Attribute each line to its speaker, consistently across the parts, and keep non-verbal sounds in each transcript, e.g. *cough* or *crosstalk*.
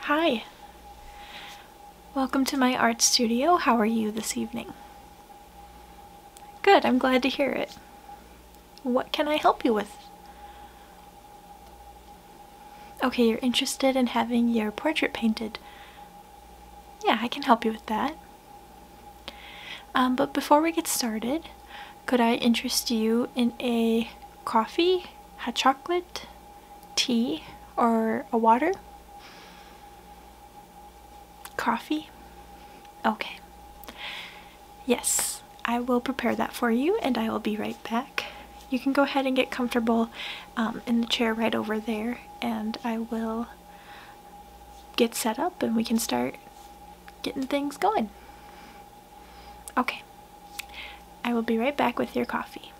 Speaker 1: Hi! Welcome to my art studio. How are you this evening? Good, I'm glad to hear it. What can I help you with? Okay, you're interested in having your portrait painted. Yeah, I can help you with that. Um, but before we get started, could I interest you in a coffee, hot chocolate, tea, or a water? Coffee? Okay. Yes, I will prepare that for you and I will be right back. You can go ahead and get comfortable um, in the chair right over there and I will get set up and we can start getting things going. Okay, I will be right back with your coffee.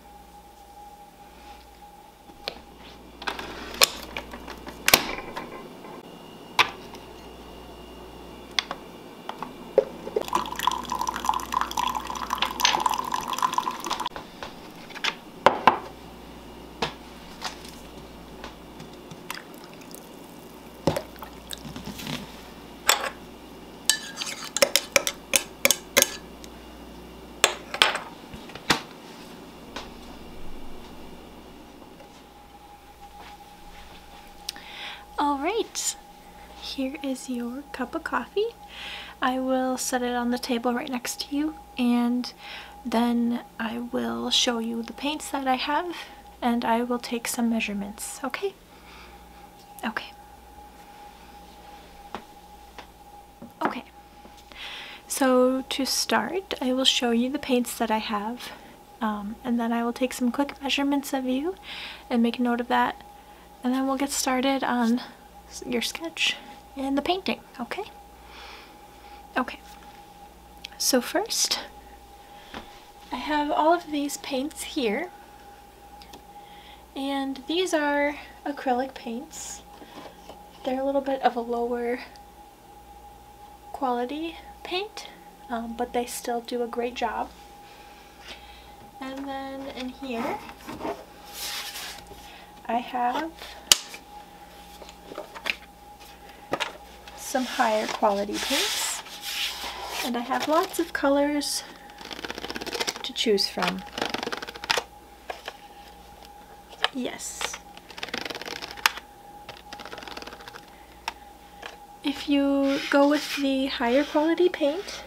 Speaker 1: All right, here is your cup of coffee. I will set it on the table right next to you and then I will show you the paints that I have and I will take some measurements, okay? Okay. Okay, so to start, I will show you the paints that I have um, and then I will take some quick measurements of you and make a note of that and then we'll get started on your sketch and the painting, okay? Okay, so first, I have all of these paints here. And these are acrylic paints. They're a little bit of a lower quality paint, um, but they still do a great job. And then in here, I have some higher quality paints. And I have lots of colors to choose from. Yes. If you go with the higher quality paint,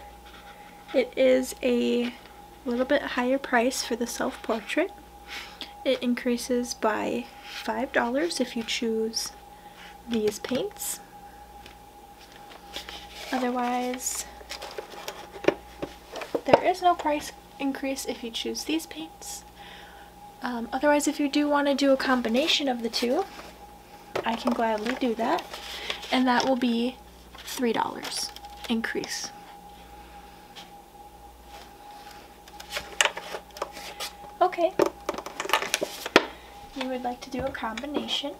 Speaker 1: it is a little bit higher price for the self-portrait. It increases by $5 if you choose these paints. Otherwise, there is no price increase if you choose these paints. Um, otherwise, if you do want to do a combination of the two, I can gladly do that. And that will be $3 increase. Okay. You would like to do a combination.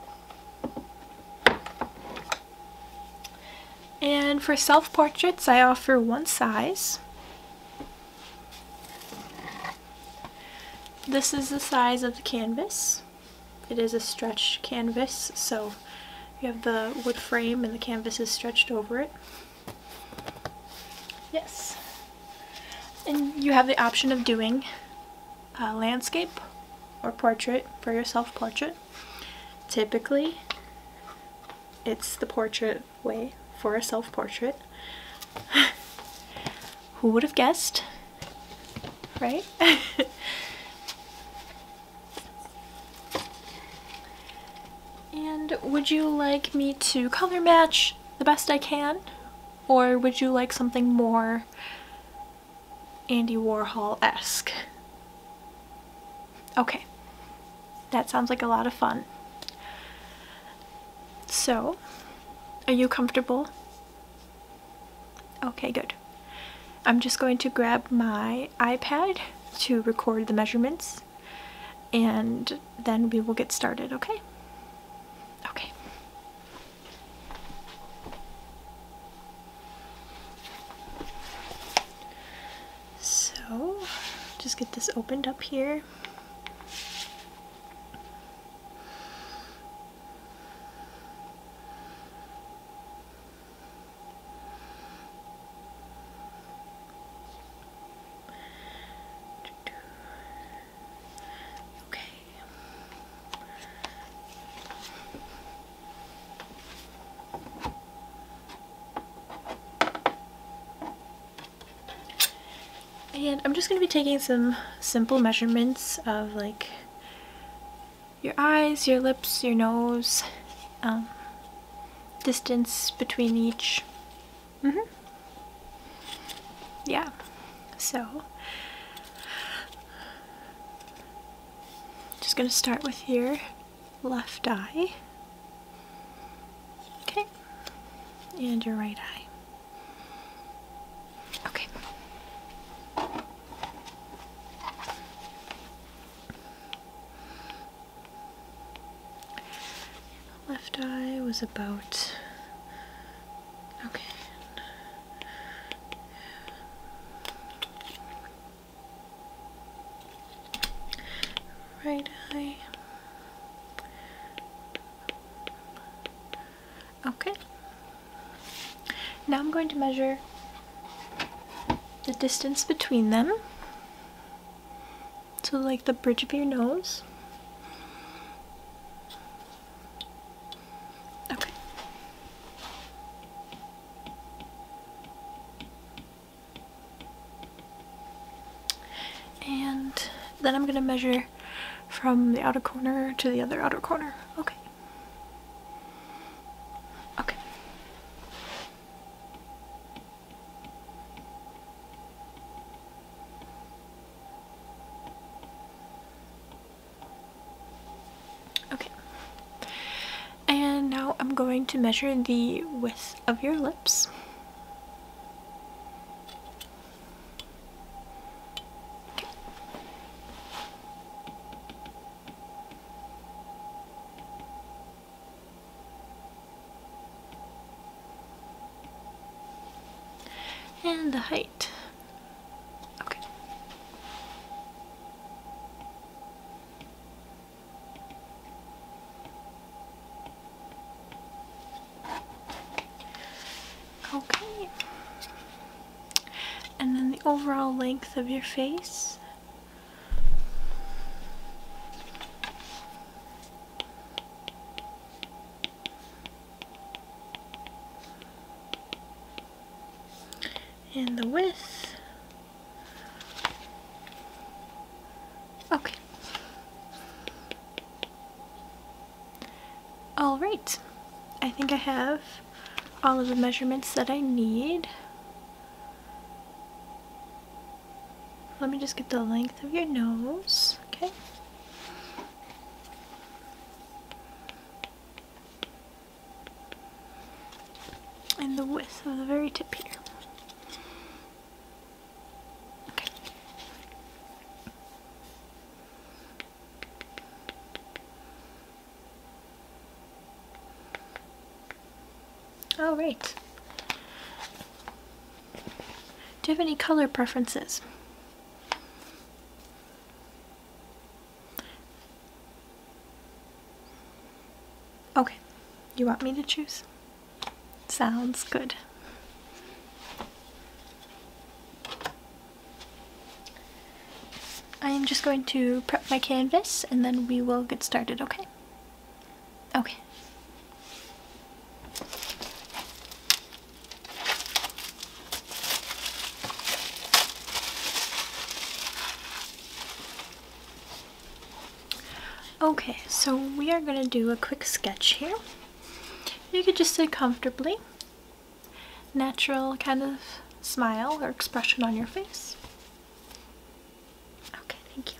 Speaker 1: And for self-portraits, I offer one size. This is the size of the canvas. It is a stretched canvas, so you have the wood frame and the canvas is stretched over it. Yes. And you have the option of doing uh, landscape or portrait for your self-portrait. Typically, it's the portrait way for a self-portrait. *laughs* Who would have guessed? Right? *laughs* and would you like me to color match the best I can or would you like something more Andy Warhol-esque? Okay, that sounds like a lot of fun. So, are you comfortable? Okay, good. I'm just going to grab my iPad to record the measurements and then we will get started, okay? Okay. So, just get this opened up here. Okay. And I'm just going to be taking some simple measurements of like your eyes, your lips, your nose, um, distance between each Mm -hmm. Yeah. So just going to start with your left eye. Okay. And your right eye. Okay left eye was about okay right eye okay now I'm going to measure the distance between them so like the bridge of your nose Okay. And then I'm going to measure from the outer corner to the other outer corner. Okay. Okay. Okay. And now I'm going to measure the width of your lips and the height. Okay. Okay. And then the overall length of your face and the width. Okay. Alright, I think I have all of the measurements that I need. Let me just get the length of your nose, okay? and the width of the very tip here. Okay. All right. Do you have any color preferences? Okay, you want me to choose? Sounds good. I am just going to prep my canvas and then we will get started, okay? Okay. Okay, so we are going to do a quick sketch here. You could just sit comfortably, natural kind of smile or expression on your face. Okay, thank you.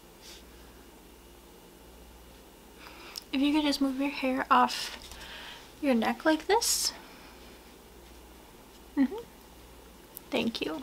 Speaker 1: If you could just move your hair off your neck like this. Mm-hmm. Thank you.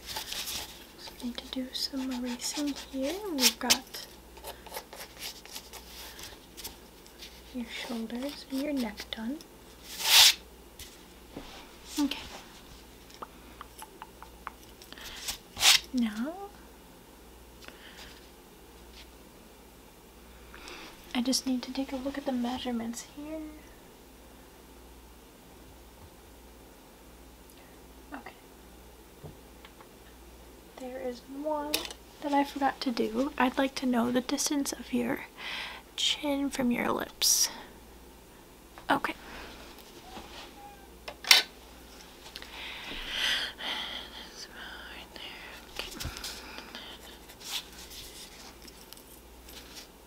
Speaker 1: so I need to do some erasing here. We've got your shoulders and your neck done. Okay. Now, I just need to take a look at the measurements here. Okay. There is one that I forgot to do. I'd like to know the distance of your chin from your lips. Okay. Okay.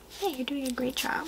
Speaker 1: Hey, you're doing a great job.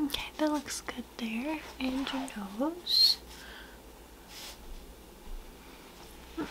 Speaker 1: Okay, that looks good there. And your nose. Okay.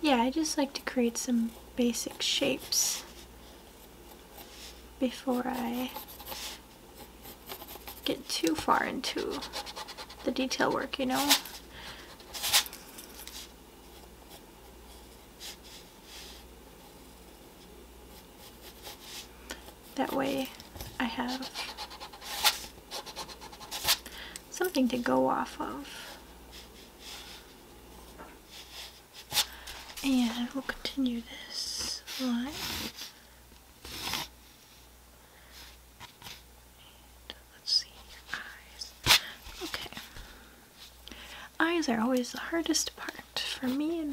Speaker 1: Yeah, I just like to create some basic shapes before I get too far into the detail work, you know? That way I have something to go off of. And we'll continue this line. Let's see eyes. Okay. Eyes are always the hardest part for me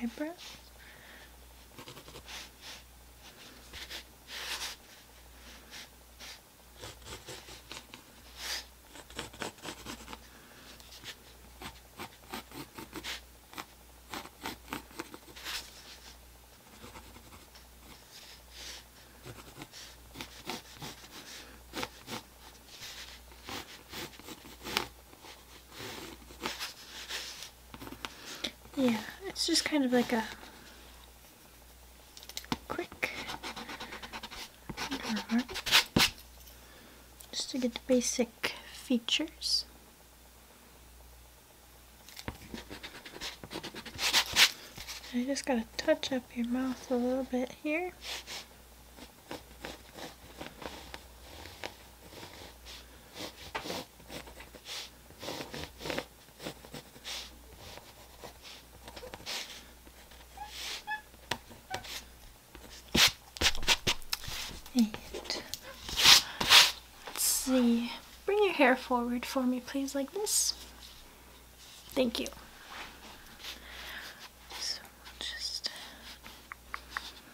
Speaker 1: eyebrows yeah, it's just kind of like a quick uh-huh. just to get the basic features. I just gotta touch up your mouth a little bit here let's see. Bring your hair forward for me, please, like this. Thank you. So just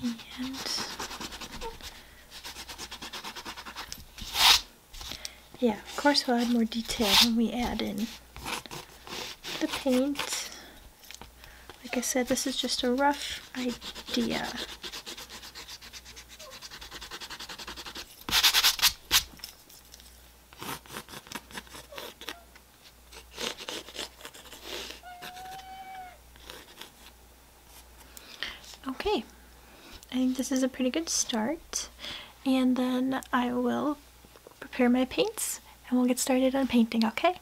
Speaker 1: and yeah, of course we'll add more detail when we add in the paint. Like I said, this is just a rough idea. Okay, I think this is a pretty good start, and then I will prepare my paints and we'll get started on painting, okay?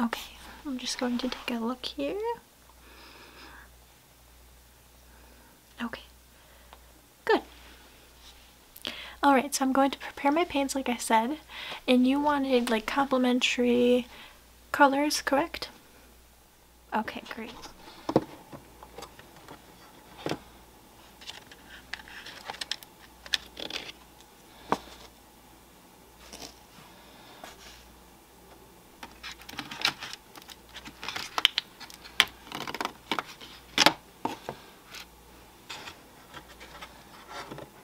Speaker 1: Okay, I'm just going to take a look here. Okay, good. Alright, so I'm going to prepare my paints like I said, and you wanted like complementary colors, correct? Okay, great.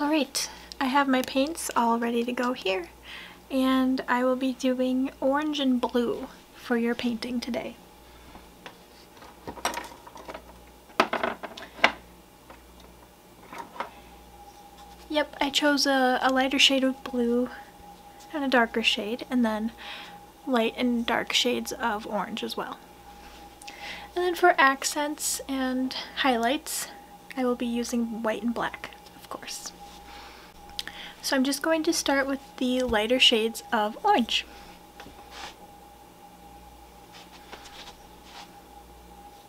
Speaker 1: Alright, I have my paints all ready to go here and I will be doing orange and blue for your painting today. Yep, I chose a, lighter shade of blue and a darker shade, and then light and dark shades of orange as well. And then for accents and highlights, I will be using white and black, of course. So I'm just going to start with the lighter shades of orange.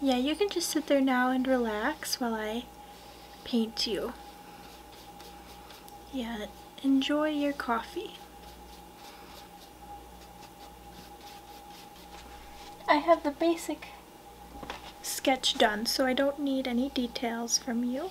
Speaker 1: Yeah, you can just sit there now and relax while I paint you. Yeah, enjoy your coffee. I have the basic sketch done, so I don't need any details from you.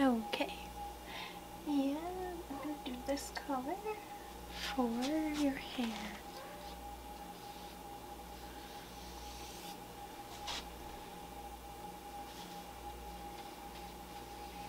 Speaker 1: Okay. Yeah, I'm going to do this color for your hair.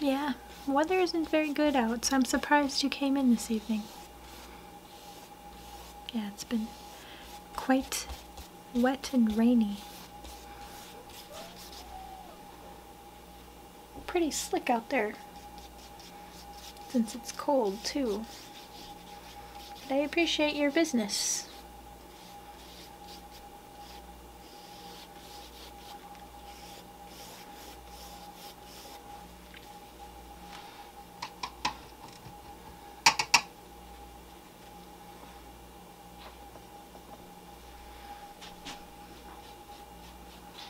Speaker 1: Yeah, weather isn't very good out, so I'm surprised you came in this evening. Yeah, it's been quite wet and rainy pretty slick out there since it's cold too. But I appreciate your business.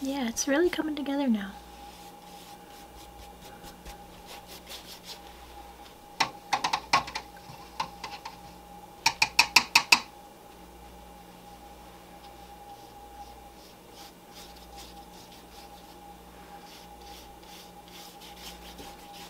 Speaker 1: Yeah, it's really coming together now.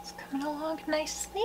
Speaker 1: It's coming along nicely.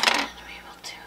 Speaker 1: And we will do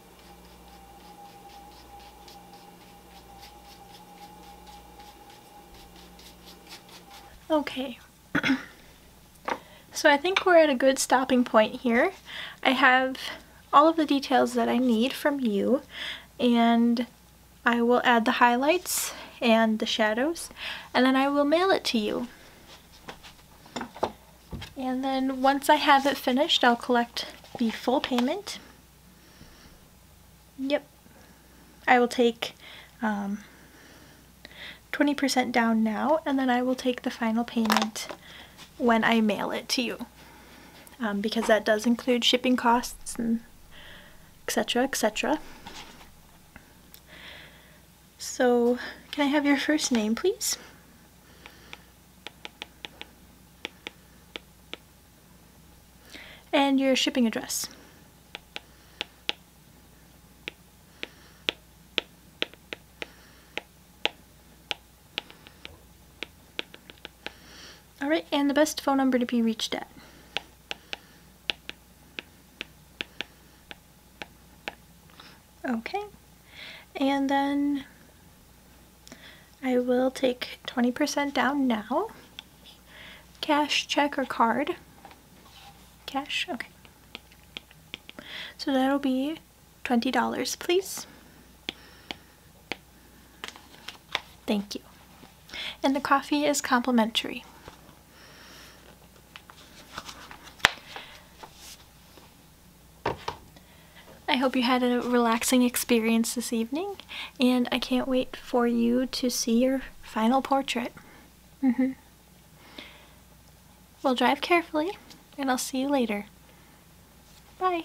Speaker 1: Okay, *coughs* so I think we're at a good stopping point here. I have all of the details that I need from you and I will add the highlights and the shadows and then I will mail it to you. And then once I have it finished, I'll collect the full payment. Yep. I will take 20% um, down now, and then I will take the final payment when I mail it to you. Um, because that does include shipping costs and etc. etc. So, can I have your first name, please? and your shipping address. Alright, and the best phone number to be reached at. Okay. And then I will take 20% down now. Cash, check, or card? Cash, okay. So that'll be $20, please. Thank you. And the coffee is complimentary. I hope you had a relaxing experience this evening, and I can't wait for you to see your final portrait. Mm -hmm. Well, drive carefully, and I'll see you later. Bye.